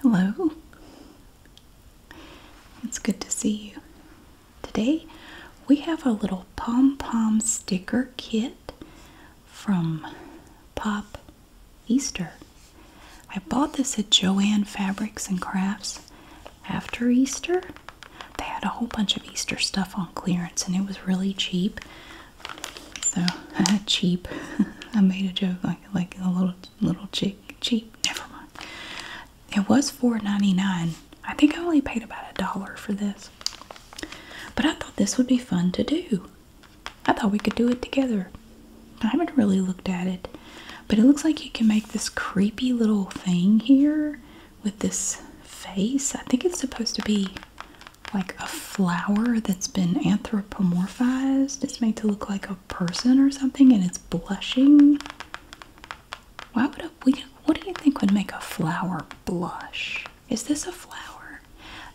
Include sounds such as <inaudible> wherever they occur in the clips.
Hello, it's good to see you. Today we have a little pom pom sticker kit from Pop Easter. I bought this at Joann Fabrics and Crafts after Easter. They had a whole bunch of Easter stuff on clearance and it was really cheap. So <laughs> cheap. <laughs> I made a joke like like a little little chick cheap. Never mind. It was $4.99. I think I only paid about a dollar for this. But I thought this would be fun to do. I thought we could do it together. I haven't really looked at it. But it looks like you can make this creepy little thing here with this face. I think it's supposed to be like a flower that's been anthropomorphized. It's made to look like a person or something and it's blushing. Why would a, what do you think would make a flower blush? Is this a flower?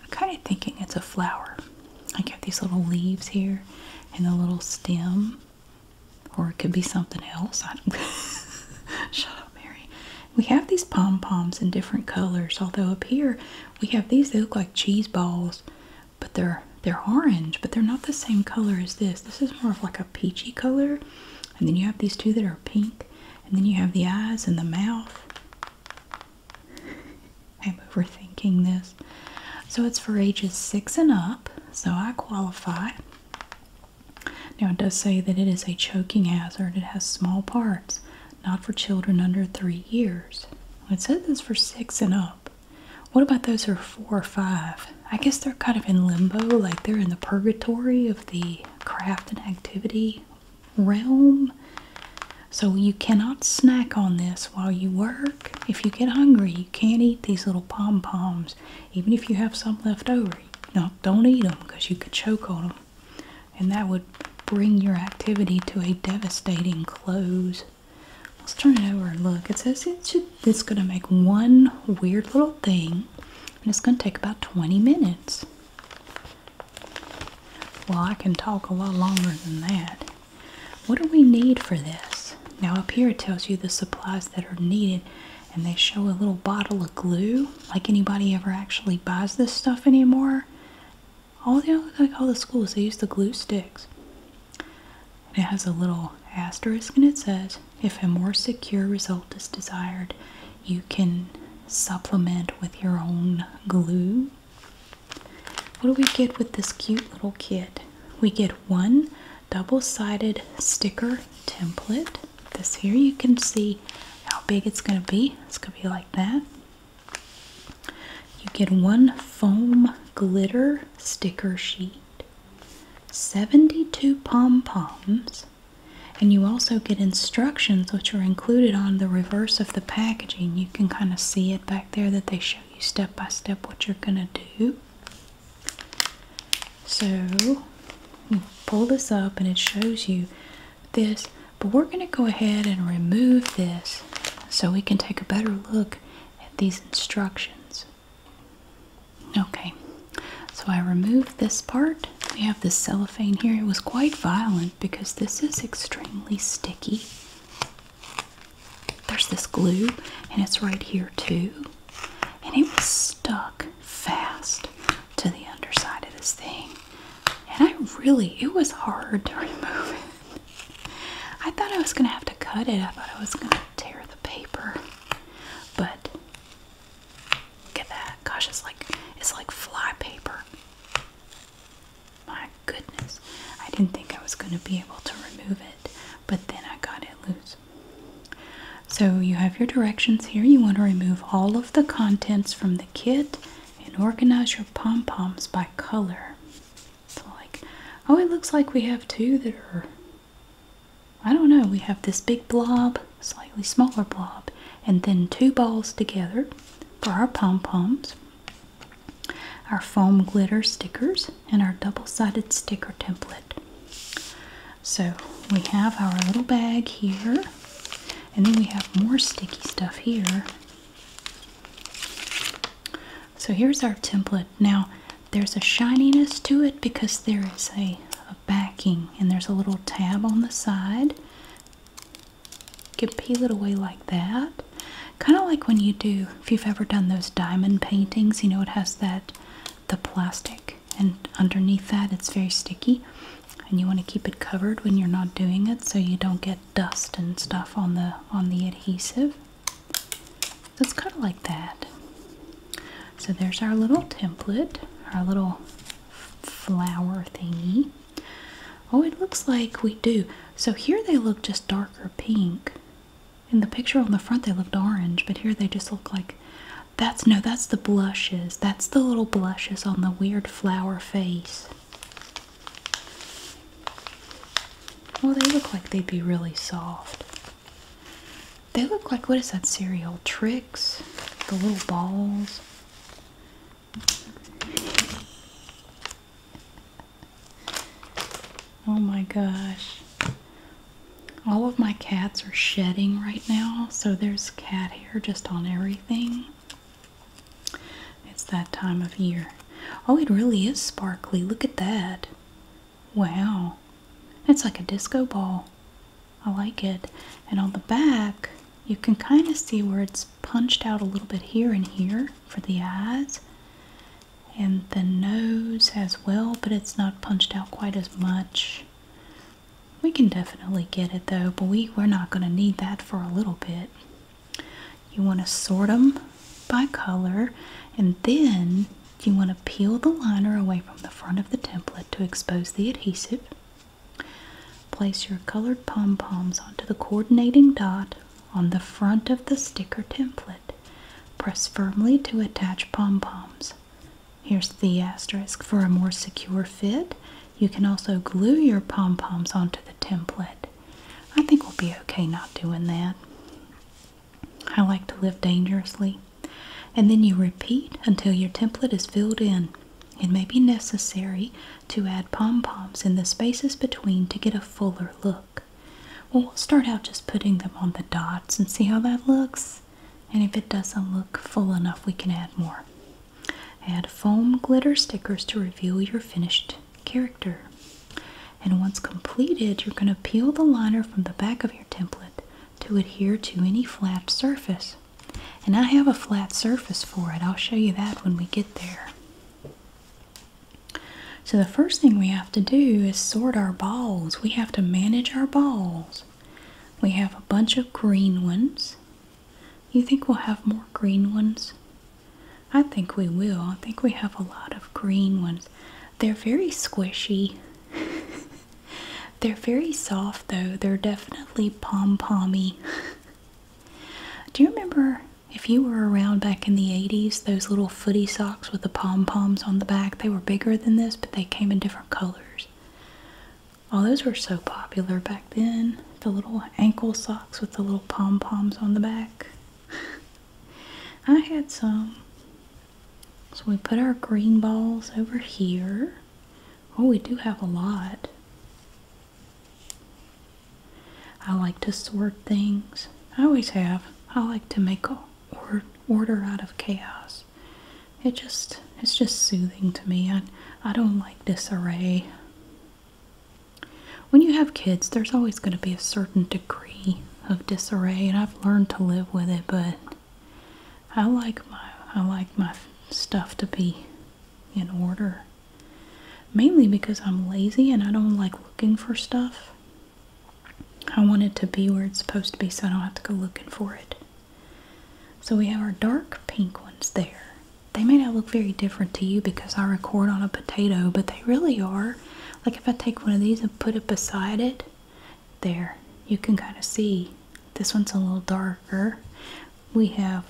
I'm kind of thinking it's a flower. I like got these little leaves here and the little stem. Or it could be something else. <laughs> Shut up, Mary. We have these pom poms in different colors, although up here we have these, they look like cheese balls, but they're they're orange, but they're not the same color as this. This is more of like a peachy color. And then you have these two that are pink. And then you have the eyes and the mouth. I'm overthinking this. So it's for ages six and up. So I qualify. Now it does say that it is a choking hazard. It has small parts, not for children under three years. It says this for six and up. What about those who are four or five? I guess they're kind of in limbo, like they're in the purgatory of the craft and activity realm. So you cannot snack on this while you work. If you get hungry, you can't eat these little pom poms, even if you have some left over. No, don't eat them because you could choke on them, and that would bring your activity to a devastating close. Let's turn it over and look. It says it's going to make one weird little thing, and it's going to take about 20 minutes. Well, I can talk a lot longer than that. What do we need for this? Now up here it tells you the supplies that are needed and they show a little bottle of glue. Like anybody ever actually buys this stuff anymore. All the thing I call the schools they use the glue sticks. it has a little asterisk and it says if a more secure result is desired, you can supplement with your own glue. What do we get with this cute little kit? We get one double-sided sticker template. This here you can see how big it's going to be. It's going to be like that. You get one foam glitter sticker sheet, 72 pom-poms, and you also get instructions which are included on the reverse of the packaging. You can kind of see it back there that they show you step by step what you're going to do. So pull this up and it shows you this, but we're going to go ahead and remove this so we can take a better look at these instructions. Okay, so I removed this part. We have this cellophane here. It was quite violent because this is extremely sticky. There's this glue, and it's right here too and it was stuck fast to the underside of this thing. And I really, it was hard to <laughs> remove it. I thought I was going to have to cut it, I thought I was going to tear the paper. But look at that. Gosh, it's like, it's like fly paper. My goodness. I didn't think I was going to be able to remove it, but then I got it loose. So you have your directions here. You want to remove all of the contents from the kit and organize your pom-poms by color. It's like, oh, it looks like we have two that are, I don't know, we have this big blob, slightly smaller blob, and then two balls together for our pom-poms, our foam glitter stickers, and our double-sided sticker template. So we have our little bag here, and then we have more sticky stuff here. So here's our template. Now there's a shininess to it because there is a, backing and there's a little tab on the side. You can peel it away like that. Kind of like when you do, if you've ever done those diamond paintings, you know it has that the plastic and underneath that it's very sticky and you want to keep it covered when you're not doing it so you don't get dust and stuff on the on the adhesive so it's kind of like that so there's our little template our little flower thingy oh it looks like we do so here they look just darker pink in the picture on the front, they looked orange, but here they just look like that's no, that's the blushes. That's the little blushes on the weird flower face. Well, they look like they'd be really soft. They look like what is that cereal? Tricks? The little balls? Oh my gosh. All of my cats are shedding right now, so there's cat hair just on everything. It's that time of year. Oh, it really is sparkly. Look at that. Wow. It's like a disco ball. I like it. And on the back, you can kind of see where it's punched out a little bit here and here for the eyes and the nose as well, but it's not punched out quite as much. We can definitely get it though, but we, are not going to need that for a little bit. You want to sort them by color and then you want to peel the liner away from the front of the template to expose the adhesive. Place your colored pom-poms onto the coordinating dot on the front of the sticker template. Press firmly to attach pom-poms. Here's the asterisk. For a more secure fit, you can also glue your pom-poms onto the template. I think we'll be okay not doing that. I like to live dangerously. And then you repeat until your template is filled in. It may be necessary to add pom-poms in the spaces between to get a fuller look. Well, we'll start out just putting them on the dots and see how that looks. And if it doesn't look full enough, we can add more. Add foam glitter stickers to reveal your finished character. And once completed, you're going to peel the liner from the back of your template to adhere to any flat surface. And I have a flat surface for it. I'll show you that when we get there. So, the first thing we have to do is sort our balls. We have to manage our balls. We have a bunch of green ones. You think we'll have more green ones? I think we will. I think we have a lot of green ones. They're very squishy. <laughs> They're very soft though. They're definitely pom pommy. <laughs> Do you remember if you were around back in the 80s, those little footy socks? with the pom poms on the back. They were bigger than this, but they came in different colors. oh, those were so popular back then. The little ankle socks with the little pom poms on the back. <laughs> I had some. So we put our green balls over here. Oh, we do have a lot. I like to sort things. I always have. I like to make a or order out of chaos. It just it's just soothing to me. I I don't like disarray. When you have kids, there's always going to be a certain degree of disarray, and I've learned to live with it, but I like my I like my stuff to be in order. Mainly because I'm lazy and I don't like looking for stuff. I want it to be where it's supposed to be so I don't have to go looking for it. So we have our dark pink ones there. They may not look very different to you because I record on a potato, but they really are. Like if I take one of these and put it beside it, there, you can kind of see. This one's a little darker. We have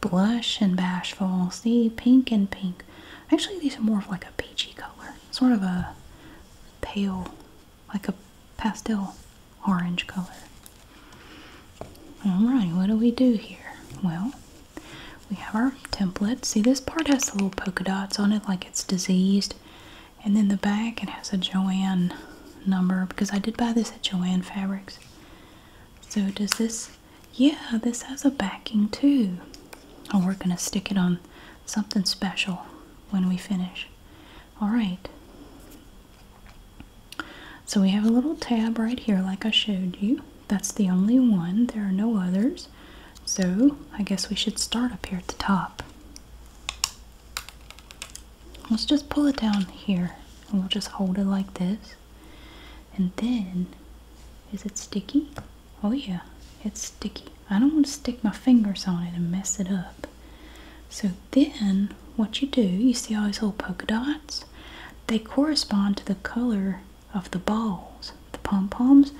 blush and bashful. See, pink and pink. Actually, these are more of like a peachy color sort of a pale, like a pastel orange color. Alright, what do we do here? Well, we have our template. See, this part has the little polka dots on it, like it's diseased. And then the back, it has a Joanne number because I did buy this at Joanne Fabrics. So, does this yeah, this has a backing too. And we're going to stick it on something special when we finish. Alright. So we have a little tab right here like I showed you. That's the only one. There are no others. So I guess we should start up here at the top. Let's just pull it down here and we'll just hold it like this. And then, is it sticky? Oh yeah, it's sticky. I don't want to stick my fingers on it and mess it up. So then, what you do, you see all these little polka dots? They correspond to the color of the balls, the pom-poms.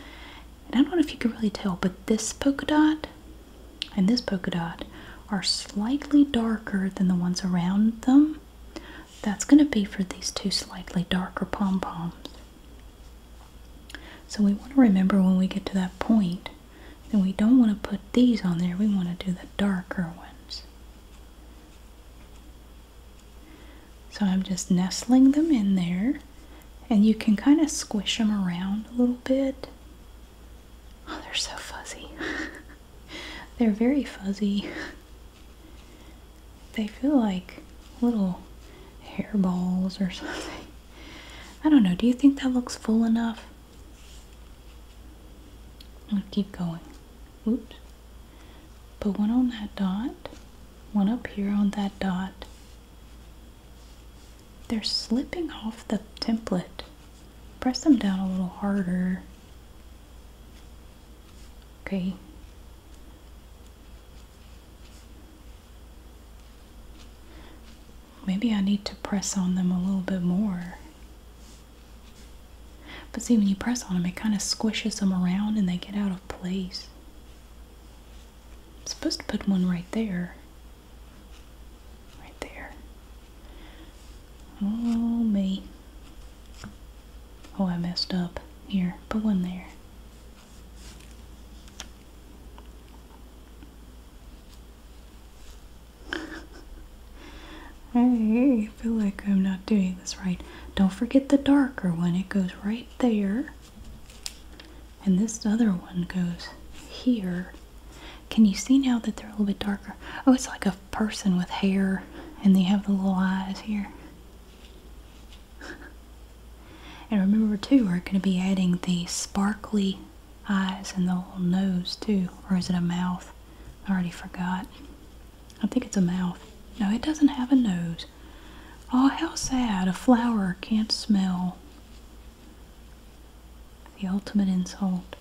And I don't know if you can really tell, but this polka dot and this polka dot are slightly darker than the ones around them. That's going to be for these two slightly darker pom-poms. So we want to remember when we get to that point that we don't want to put these on there. We want to do the darker ones. So I'm just nestling them in there. And you can kind of squish them around a little bit. Oh, they're so fuzzy. <laughs> they're very fuzzy. <laughs> They feel like little hair balls or <laughs> something. I don't know. Do you think that looks full enough? I'll keep going. Oops. Put one on that dot, one up here on that dot. They're slipping off the template. Press them down a little harder. Okay. Maybe I need to press on them a little bit more. But see, when you press on them, it kind of squishes them around and they get out of place. I'm supposed to put one right there. Right there. Oh, me. Oh, I messed up. Here, put one there. I feel like I'm not doing this right. Don't forget the darker one. It goes right there. And this other one goes here. Can you see now that they're a little bit darker? Oh, it's like a person with hair and they have the little eyes here and remember too, we're going to be adding the sparkly eyes and the whole nose too. Or is it a mouth? I already forgot. I think it's a mouth. No, it doesn't have a nose. Oh, how sad. A flower can't smell. The ultimate insult.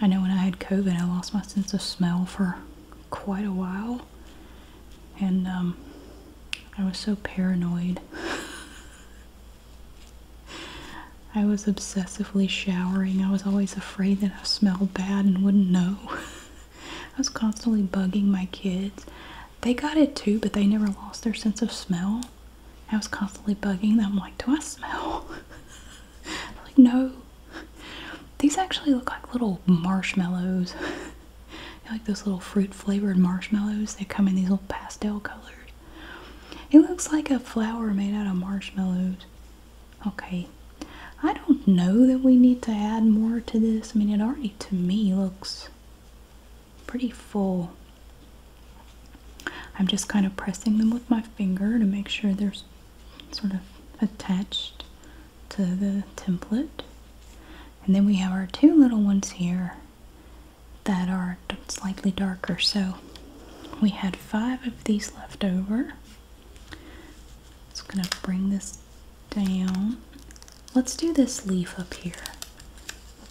I know when I had COVID, I lost my sense of smell for quite a while, and um, I was so paranoid. <laughs> I was obsessively showering. I was always afraid that I smelled bad and wouldn't know. <laughs> I was constantly bugging my kids. They got it too, but they never lost their sense of smell. I was constantly bugging them, like, do I smell? <laughs> like, no. These actually look like little marshmallows. <laughs> like those little fruit flavored marshmallows. They come in these little pastel colors. It looks like a flower made out of marshmallows. Okay. I don't know that we need to add more to this. I mean, it already to me looks pretty full. I'm just kind of pressing them with my finger to make sure there's sort of attached to the template. And then we have our two little ones here that are slightly darker. So we had five of these left over. Just gonna bring this down. Let's do this leaf up here.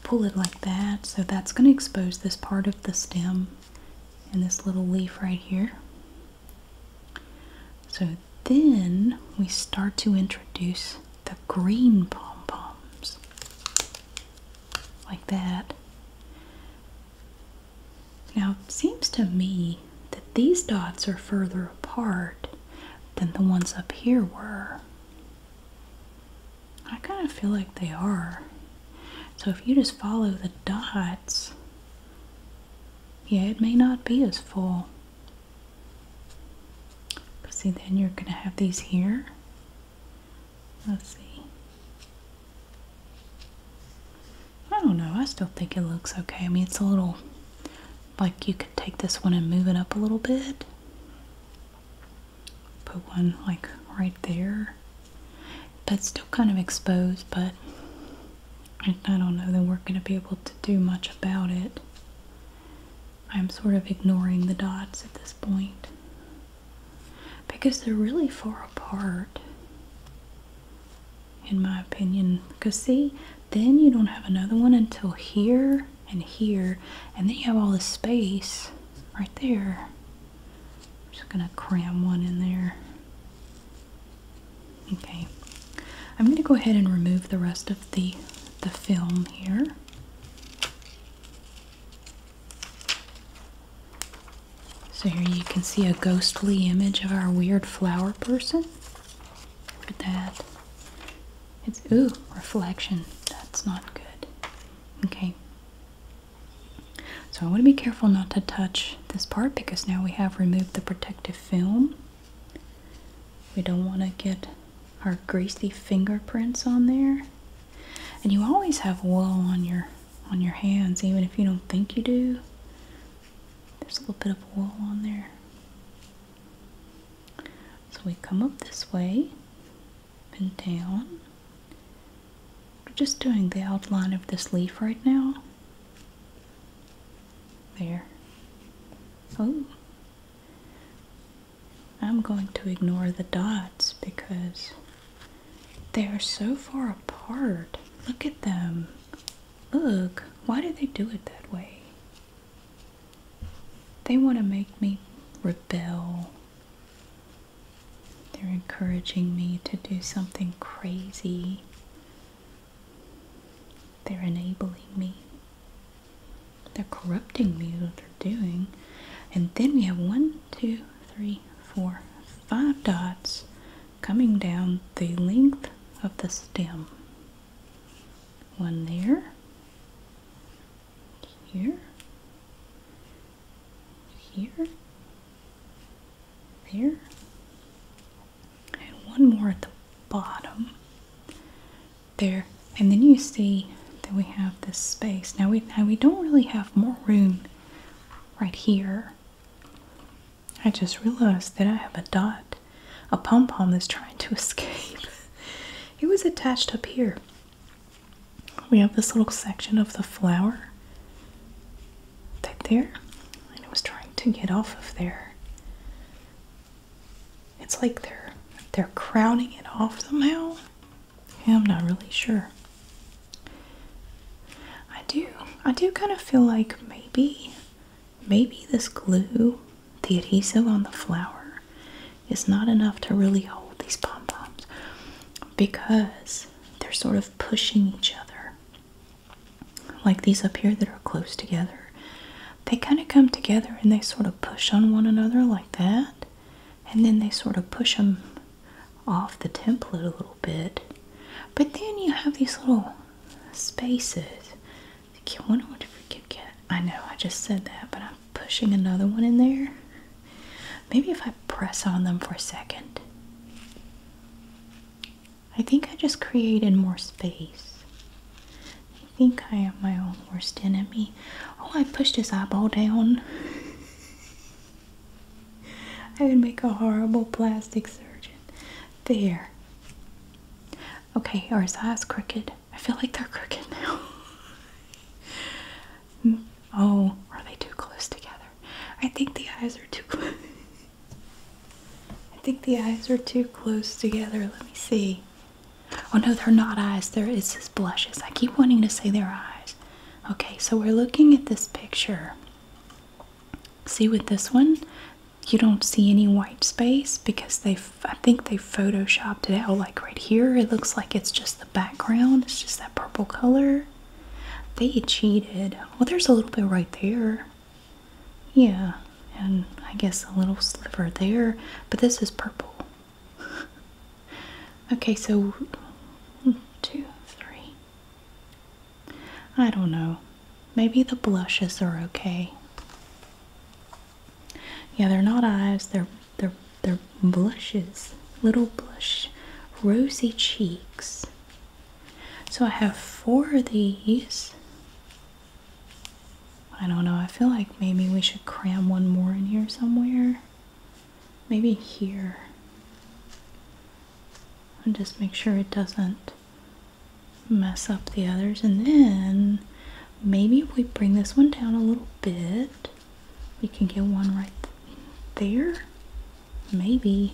pull it like that. So that's gonna expose this part of the stem and this little leaf right here. So then we start to introduce the green pom poms, like that. Now it seems to me that these dots are further apart than the ones up here were. I kind of feel like they are. So if you just follow the dots, yeah, it may not be as full. But see, then you're going to have these here. Let's see. I don't know. I still think it looks okay. I mean, it's a little like you could take this one and move it up a little bit. Put one like right there. But still kind of exposed, but I don't know that we're going to be able to do much about it. I'm sort of ignoring the dots at this point because they're really far apart, in my opinion. Because, see, then you don't have another one until here and here, and then you have all this space right there. I'm just going to cram one in there. Okay, I'm going to go ahead and remove the rest of the the film here. So here you can see a ghostly image of our weird flower person. Look at that. It's ooh, reflection. That's not good. Okay. So I want to be careful not to touch this part because now we have removed the protective film. We don't want to get our greasy fingerprints on there. And you always have oil on your on your hands even if you don't think you do. There's a little bit of oil on there. So we come up this way and down we're just doing the outline of this leaf right now. There. Oh. I'm going to ignore the dots because they are so far apart. Look at them. Look, why did they do it that way? They want to make me rebel. They're encouraging me to do something crazy. They're enabling me. They're corrupting me, what they're doing. And then we have one, two, three, four, five dots coming down the length of the stem. One there, here, here, there, and one more at the bottom there. And then you see that we have this space. Now we now we don't really have more room right here. I just realized that I have a dot, a pom pom that's trying to <laughs> escape. it was attached up here we have this little section of the flower right there, and it was trying to get off of there. It's like they're they're crowding it off somehow. I'm not really sure. I do I do kind of feel like maybe maybe this glue, the adhesive on the flower, is not enough to really hold these pom poms because they're sort of pushing each other. Like these up here that are close together. They kind of come together and they sort of push on one another like that. And then they sort of push them off the template a little bit. But then you have these little spaces. I wonder what a freaking cat. I know I just said that, but I'm pushing another one in there. Maybe if I press on them for a second. I think I just created more space. I think I am my own worst enemy. Oh, I pushed his eyeball down. <laughs> I would make a horrible plastic surgeon. There. Okay, are his eyes crooked? I feel like they're crooked now. <laughs> Oh, are they too close together? I think the eyes are too <laughs> close. I think the eyes are too close together. Let me see. Oh no, they're not eyes. There is his blushes. I keep wanting to say their eyes. Okay, so we're looking at this picture. See with this one, you don't see any white space because they I think they photoshopped it out like right here. It looks like it's just the background. It's just that purple color. They cheated. Well, there's a little bit right there. Yeah, and I guess a little sliver there, but this is purple. <laughs> okay, so hmm, two, three. I don't know. Maybe the blushes are okay. Yeah, they're not eyes, they're they're, blushes, little blush, rosy cheeks. So I have four of these. I don't know, I feel like maybe we should cram one more in here somewhere. Maybe here. And just make sure it doesn't mess up the others. And then maybe if we bring this one down a little bit, we can get one right there. Maybe.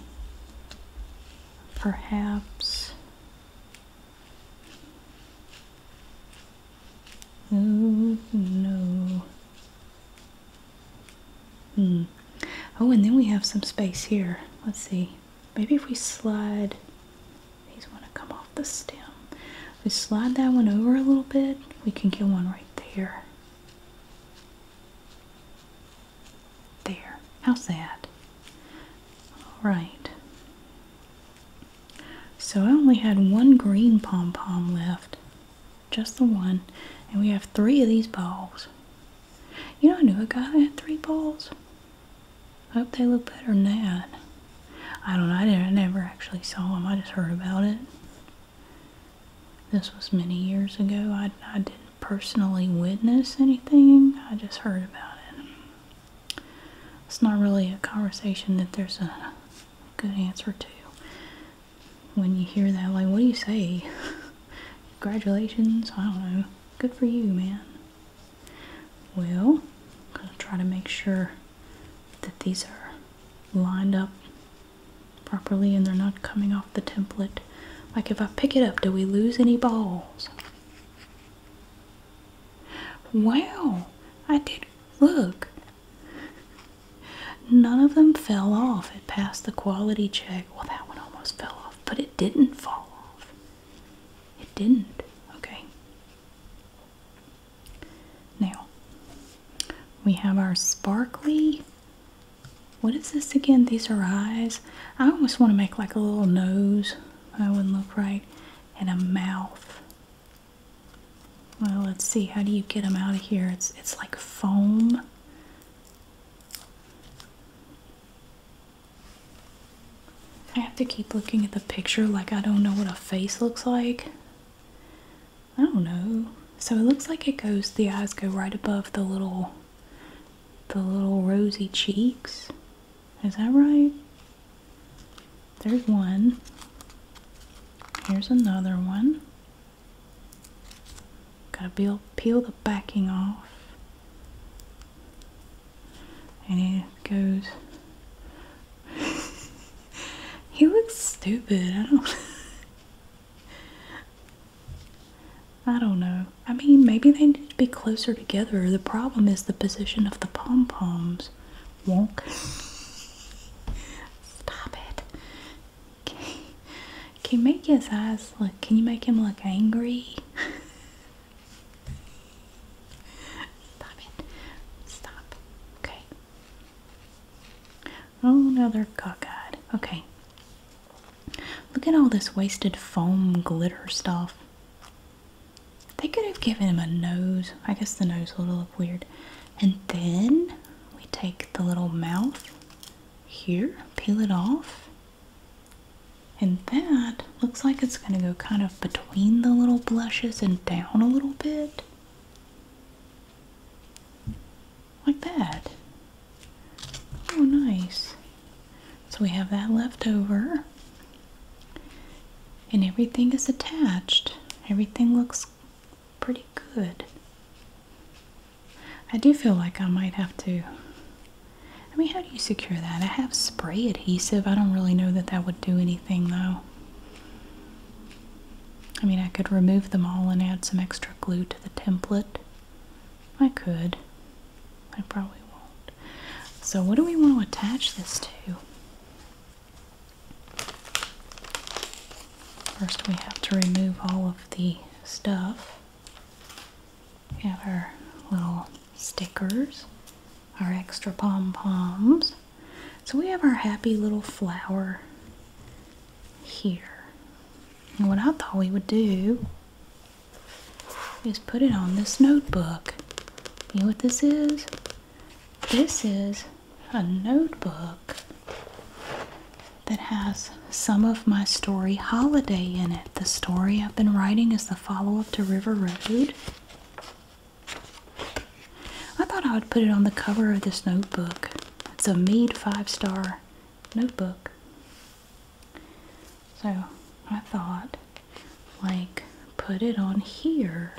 Perhaps. Oh no. Hmm. Oh, and then we have some space here. Let's see. Maybe if we slide, these want to come off the stem. we slide that one over a little bit, we can get one right there. There. How sad. Alright. So I only had one green pom pom left. Just the one. And we have three of these balls. You know, I knew a guy that had three balls. I hope they look better than that. I don't know. I, didn't, I never actually saw them. I just heard about it. This was many years ago. I, I didn't personally witness anything, I just heard about it. It's not really a conversation that there's a good answer to. When you hear that, like, what do you say? Congratulations, I don't know. Good for you, man. Well, I'm gonna try to make sure that these are lined up properly and they're not coming off the template. Like if I pick it up, do we lose any balls? Wow, I did look. None of them fell off. It passed the quality check. Well, that one almost fell off, but it didn't fall off. It didn't. Okay. Now we have our sparkly. What is this again? These are eyes. I almost want to make like a little nose. That wouldn't look right. And a mouth. Well, let's see. How do you get them out of here? It's it's like foam. I have to keep looking at the picture like I don't know what a face looks like. I don't know. So it looks like it goes the eyes go right above the little the little rosy cheeks. Is that right? There's one. Here's another one. Gotta peel, peel the backing off. And it goes <laughs> he looks stupid. I don't. <laughs> I don't know. I mean, maybe they need to be closer together. The problem is the position of the pom poms. won't. <laughs> Stop it. Can make his eyes look? Can you make him look angry? Stop it. Stop. Okay. Oh, now they're cockeyed. Okay. Look at all this wasted foam glitter stuff. They could have given him a nose. I guess the nose will look weird. And then we take the little mouth here, peel it off. And that looks like it's going to go kind of between the little blushes and down a little bit. Like that. Oh, nice. So we have that left over. And everything is attached. Everything looks pretty good. I do feel like I might have to. I mean, how do you secure that? I have spray adhesive. I don't really know that that would do anything though. I mean, I could remove them all and add some extra glue to the template. I could. I probably won't. So, what do we want to attach this to? First, we have to remove all of the stuff. We have our little stickers, our extra pom poms. So we have our happy little flower here. And what I thought we would do is put it on this notebook. You know what this is? This is a notebook that has some of my story holiday in it. The story I've been writing is the follow up to River Road. I thought I would put it on the cover of this notebook. It's a Mead five star notebook. So I thought, like, put it on here,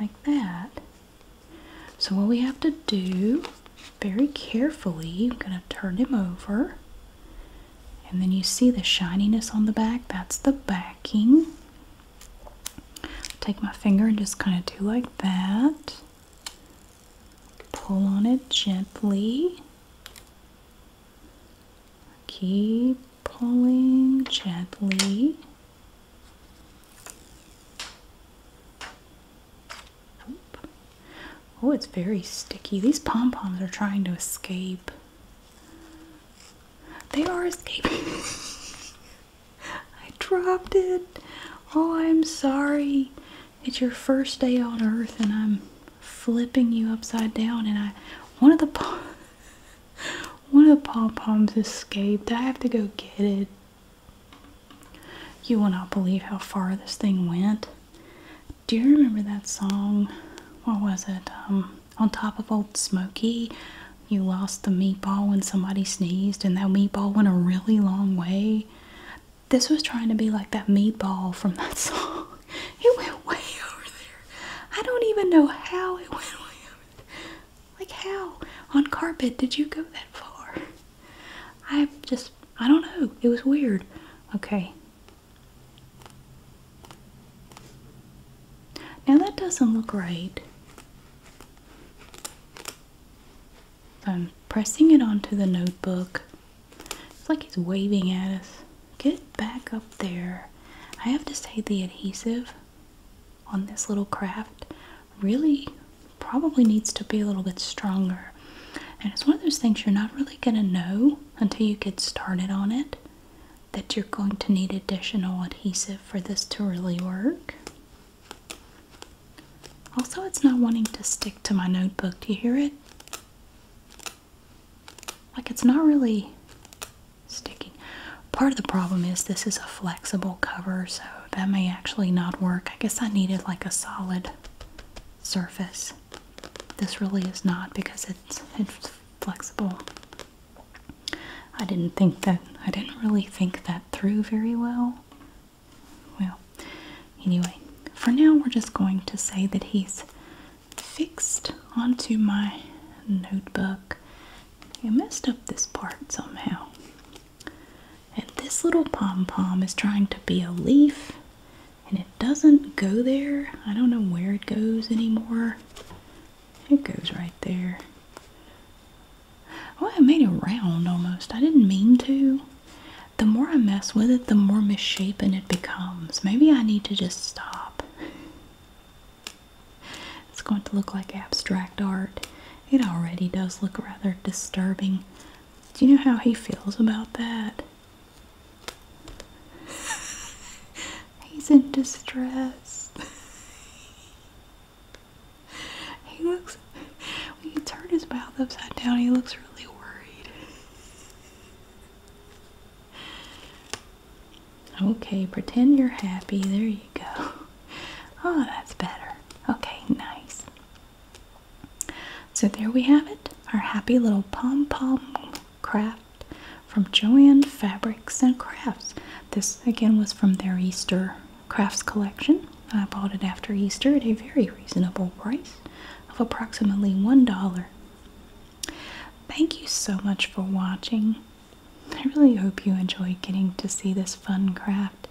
like that. So what we have to do, very carefully, I'm going to turn him over. And then you see the shininess on the back. That's the backing. Take my finger and just kind of do like that. Pull on it gently. Keep pulling gently. Oh, it's very sticky. These pom poms are trying to escape. They are escaping. <laughs> I dropped it. Oh, I'm sorry. It's your first day on earth and I'm flipping you upside down and I one of the <laughs> one of the pom-poms escaped. I have to go get it. You will not believe how far this thing went. Do you remember that song? What was it? Um on top of Old Smoky. You lost the meatball when somebody sneezed, and that meatball went a really long way. This was trying to be like that meatball from that <laughs> song. It went way over there. I don't even know how it went over there. Like, how on carpet did you go that far? I just, I don't know. It was weird. Okay. Now that doesn't look right. I'm pressing it onto the notebook. It's like he's waving at us. Get back up there. I have to say the adhesive on this little craft really probably needs to be a little bit stronger. And it's one of those things you're not really going to know until you get started on it that you're going to need additional adhesive for this to really work. Also, it's not wanting to stick to my notebook. Do you hear it? Like it's not really sticking. Part of the problem is this is a flexible cover, so that may actually not work. I guess I needed like a solid surface. This really is not because it's, flexible. I didn't think that, I didn't really think that through very well. Well, anyway, for now we're just going to say that he's fixed onto my notebook. I messed up this part somehow. And this little pom pom is trying to be a leaf and it doesn't go there. I don't know where it goes anymore. It goes right there. Oh, I made it round almost. I didn't mean to. The more I mess with it, the more misshapen it becomes. Maybe I need to just stop. It's going to look like abstract art. It already does look rather disturbing. Do you know how he feels about that? <laughs> He's in distress. <laughs> he looks, when you turn his mouth upside down, he looks really worried. Okay, pretend you're happy. There you go. Oh, that's better. Okay, nice. So there we have it. Our happy little pom pom craft from Joann Fabrics and Crafts. This again was from their Easter crafts collection. I bought it after Easter at a very reasonable price of approximately $1. Thank you so much for watching. I really hope you enjoyed getting to see this fun craft.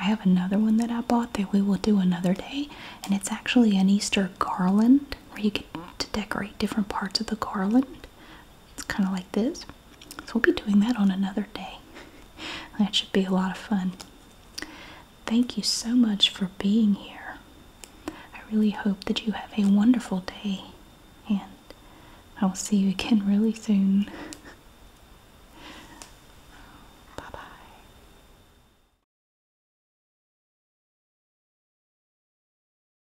I have another one that I bought that we will do another day, and it's actually an Easter garland where you get to decorate different parts of the garland it's kind of like this. So we'll be doing that on another day. <laughs> that should be a lot of fun. Thank you so much for being here. I really hope that you have a wonderful day and I will see you again <laughs> really soon. <laughs> bye bye.